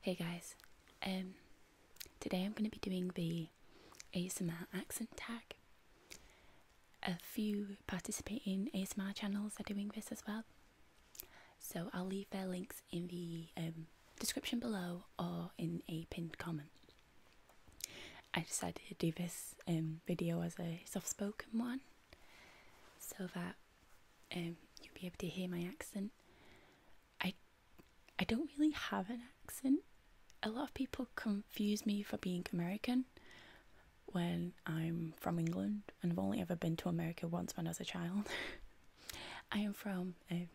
Hey guys, um, today I'm going to be doing the ASMR accent tag. A few participating ASMR channels are doing this as well, so I'll leave their links in the um, description below or in a pinned comment. I decided to do this um, video as a soft spoken one so that um, you'll be able to hear my accent I I don't really have an accent. A lot of people confuse me for being American when I'm from England, and I've only ever been to America once when I was a child. I am from um,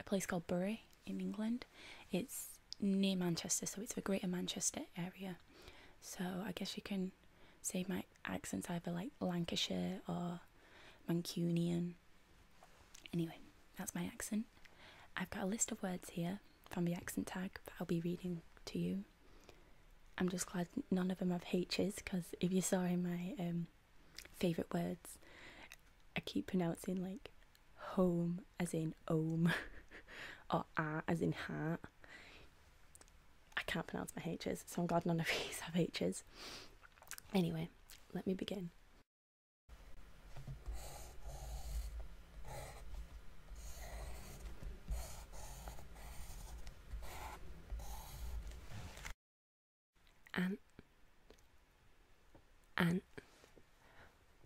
a place called Bury in England. It's near Manchester, so it's the Greater Manchester area. So I guess you can say my accents, either like Lancashire or Mancunian. Anyway, that's my accent. I've got a list of words here from the accent tag that I'll be reading to you. I'm just glad none of them have H's because if you saw in my um, favourite words, I keep pronouncing like home as in om or ah as in heart. I can't pronounce my H's, so I'm glad none of these have H's. Anyway, let me begin. Ant, ant,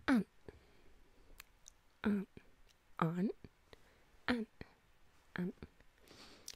ant, ant, ant, ant,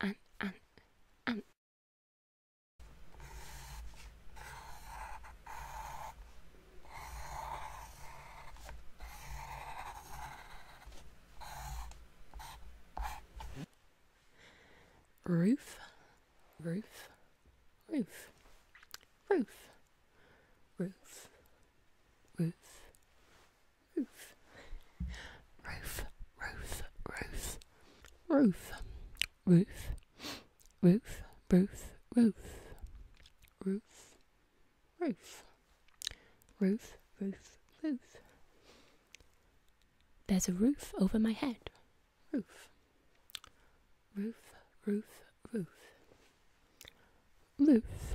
and and and and roof roof roof roof roof roof Ruth. Ruth. Ruth. Ruth. Ruth. Ruth. Ruth. Ruth. Ruth. Ruth. Ruth. Ruth. Ruth. Ruth. There's a roof over my head. Roof. Roof. Roof. Roof. Roof.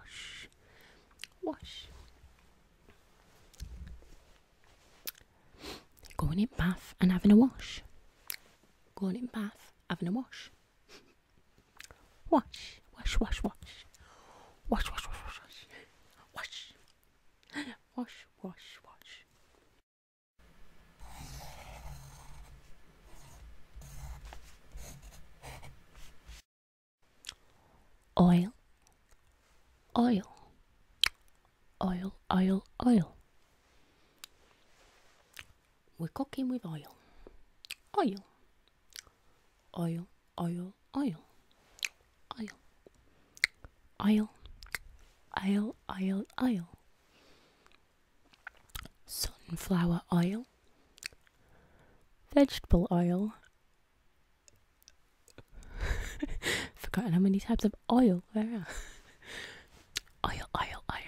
wash, wash. Going in bath and having a wash. Going in bath, having a wash. Wash, wash, wash, wash. Wash, wash, wash, wash, wash. Wash. Wash, wash, wash. Oil, oil, oil, oil, oil. We're cooking with oil. Oil, oil, oil, oil, oil, oil, oil, oil, oil sunflower oil, vegetable oil. Forgotten how many types of oil there are. Oil, oil, oil.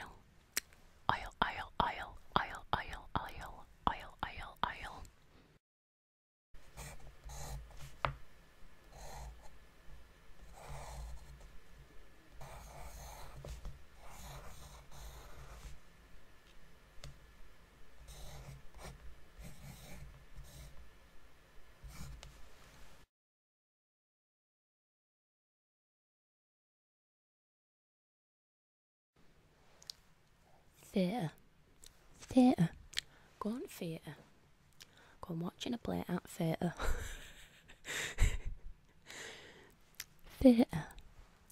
Oil, oil, oil, oil, oil, oil, oil, oil, oil. Theatre. Theatre. Go on theatre. Go on watching a play at theatre. theatre.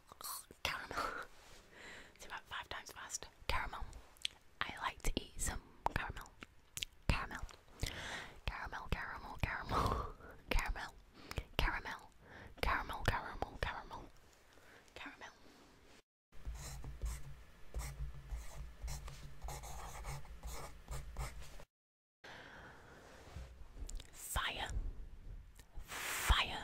caramel, caramel. about five times faster. Caramel. I like to eat some caramel, caramel, caramel, caramel, caramel, caramel, caramel, caramel, caramel, caramel. Fire, fire,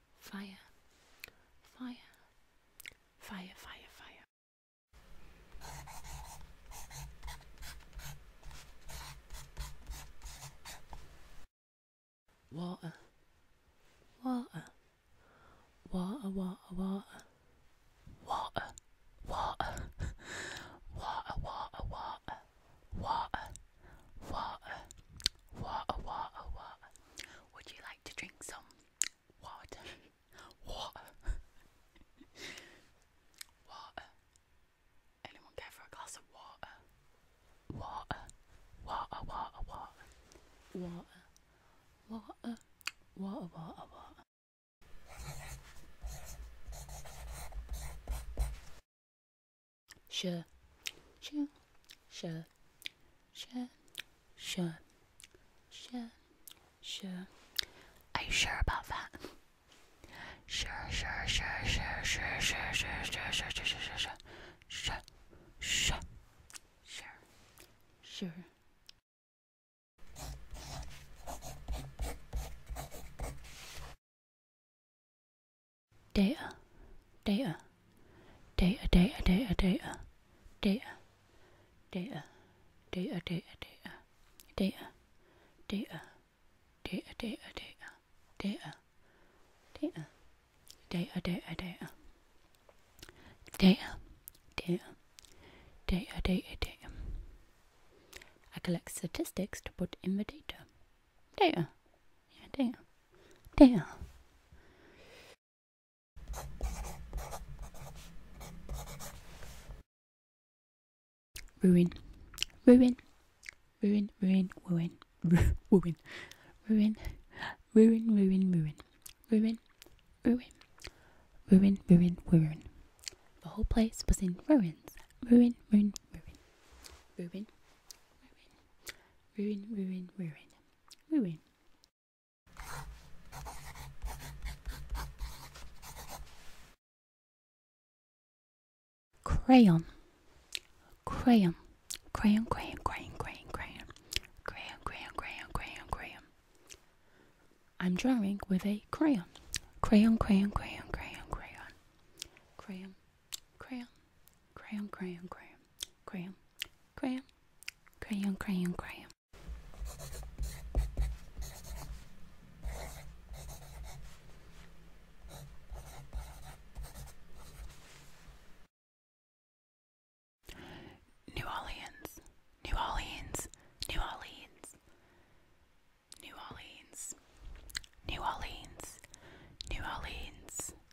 fire, fire, fire, fire, fire. Water, water, water, water, water, water, water, water, water, water, water, water, water, water, water. Would you like to drink some water, water, water. Anyone care for a glass of water? Water, water, water, water, water, water, water, water, Sure, sure, sure, Sure, sure, sure, sure. Are you sure about that? Sure, sure, sure, sure, sure, sure, sure, sure, sure, sure, sure, sure, sure, sure, sure, sure. Data, data data, data, data, data, data, data, data, data, data, data, data, data, data, data, data, data, data, data, data, I collect statistics to put in the data. Data. Yeah, data. Data. Ruin, ruin, ruin, ruin, ruin, ruin, ruin, ruin, ruin, ruin, ruin, ruin, ruin, ruin, ruin, ruin. The whole place was in ruins. Ruin, ruin, ruin, ruin, ruin, ruin, ruin, ruin, ruin, ruin. Crayon. Crayon. Crayon, crayon, crayon, crayon, crayon. Crayon, crayon, crayon, crayon, crayon. I'm drawing with a crayon. Crayon, crayon, crayon, crayon, crayon. Crayon, crayon. Crayon, crayon, crayon, crayon, crayon, crayon, crayon, crayon. New Orleans, New Orleans, New Orleans, New Orleans, New Orleans, New Orleans,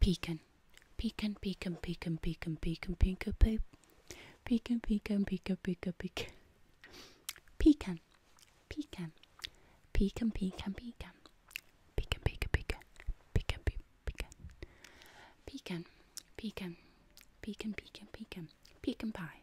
Pecan. Pecan, pecan, pecan, pecan, pecan, pecan, pecan, pecan, pecan, pecan, pecan, pecan. Pecan. Pecan. Pecan, pecan, pecan. Pecan, pecan, pecan. Pecan, pecan. Pecan, pecan. Pecan, pecan, pecan. Pecan pie.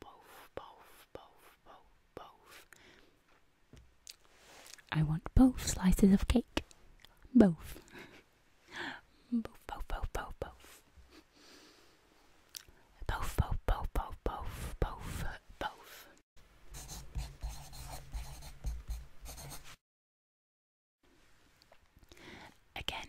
both, both, both, both, both. I want both slices of cake. Both. both, both, both, both, both. Both, both, both, both, both, both, both. Again,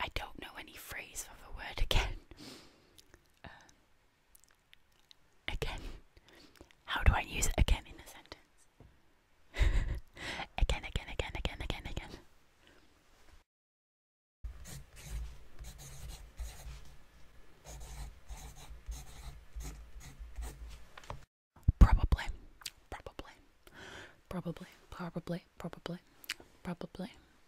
I don't know any phrase of the word again. Uh, again. How do I use again in a sentence? again, again, again, again, again, again. Probably, probably, probably, probably, probably, probably,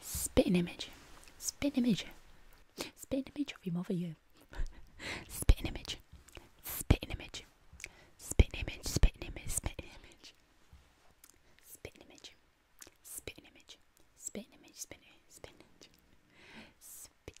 Spit an image. Spit an image. Spit an image of your mother, you. spit an image. Spit an image. Spit an image. Spit an image. Spit an image. Spit an image. Spit an image. Spit an image. Spit an image. Spit an image. Spit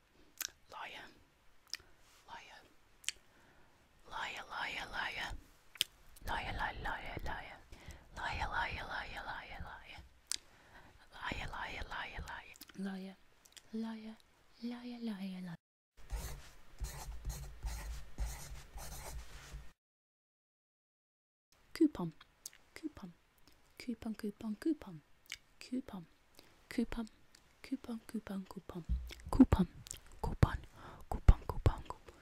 Liar. Liar. Liar, liar, liar. Liar, liar, liar, liar. Liar, liar, liar, liar, liar. Liar, liar, liar, liar. Liar. Liar, liar, liar, liar. Coupon. Coupon. Coupon, coupon, coupon. Coupon. coupon, coupon, coupon, coupon, coupon, coupon, coupon, coupon, coupon.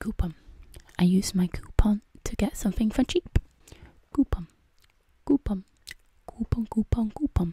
Coupon. I use my coupon to get something for cheap. Coupon, coupon, coupon, coupon, coupon.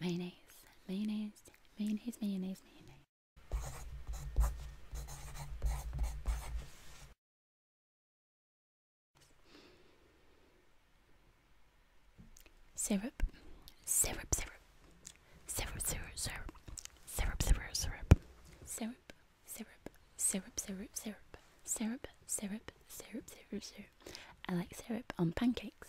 mayonnaise, mayonnaise, mayonnaise, mayonnaise, mayonnaise. Syrup, syrup, syrup, syrup, syrup, syrup, syrup, syrup, syrup, syrup, syrup, syrup, syrup, syrup, syrup, syrup, syrup, syrup, syrup. I like syrup on pancakes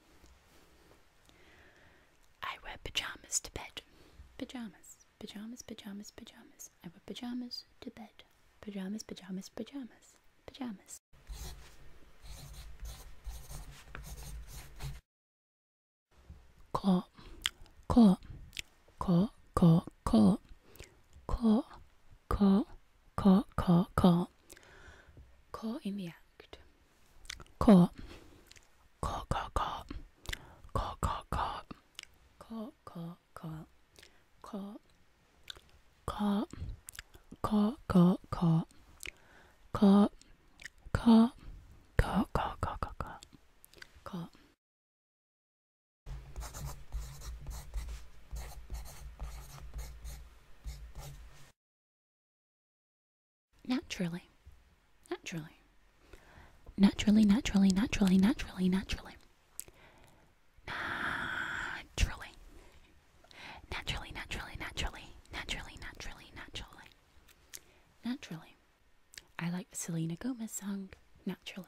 I wear pajamas to bed. Pajamas, pajamas, pajamas, pajamas. I wear pajamas to bed. Pajamas, pajamas, pajamas, pajamas. Claw, claw, claw, claw, claw, claw, Caught, caught, caught. Caught in the act. Caught. Caught, caught, caught. Caught, caught, caught. Caught, caught, caught. Caught. Caught. Caught, caught, caught. Caught. Caught. Caught, caught, caught, caught, caught. Caught. Naturally. Naturally. Naturally, naturally, naturally, naturally, naturally. Naturally. Naturally, naturally, naturally, naturally, naturally, naturally. Naturally. I like the Selena Gomez song, Naturally.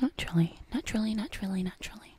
Naturally, naturally, naturally, naturally.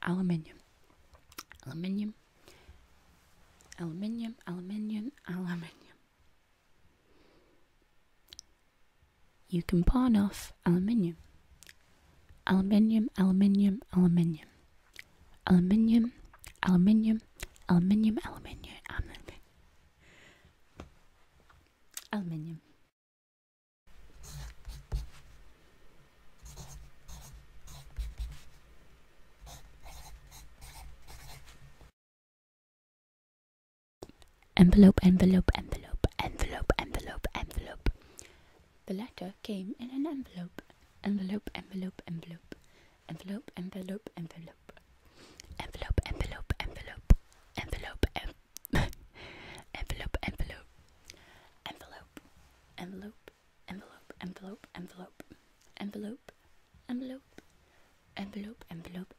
aluminium, aluminium, aluminium, aluminium, aluminium, aluminium. You can pawn off aluminium, aluminium, aluminium, aluminium, aluminium, aluminium, aluminium, aluminium, aluminium. aluminium. Envelope, envelope, envelope, envelope, envelope, envelope. The letter came in an envelope. Envelope, envelope, envelope. Envelope, envelope, envelope. Envelope, envelope, envelope. Envelope, envelope envelope, envelope, envelope, envelope, envelope, envelope, envelope, envelope, envelope, envelope, envelope,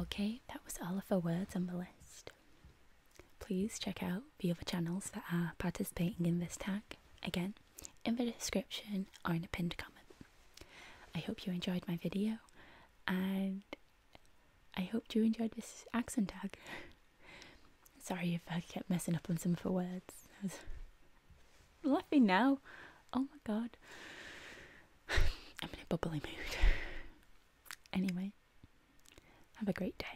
Okay, that was all of the words on the list. Please check out the other channels that are participating in this tag, again, in the description or in a pinned comment. I hope you enjoyed my video and I hope you enjoyed this accent tag. Sorry if I kept messing up on some of the words. I was laughing now. Oh my god. I'm in a bubbly mood. Anyway, have a great day.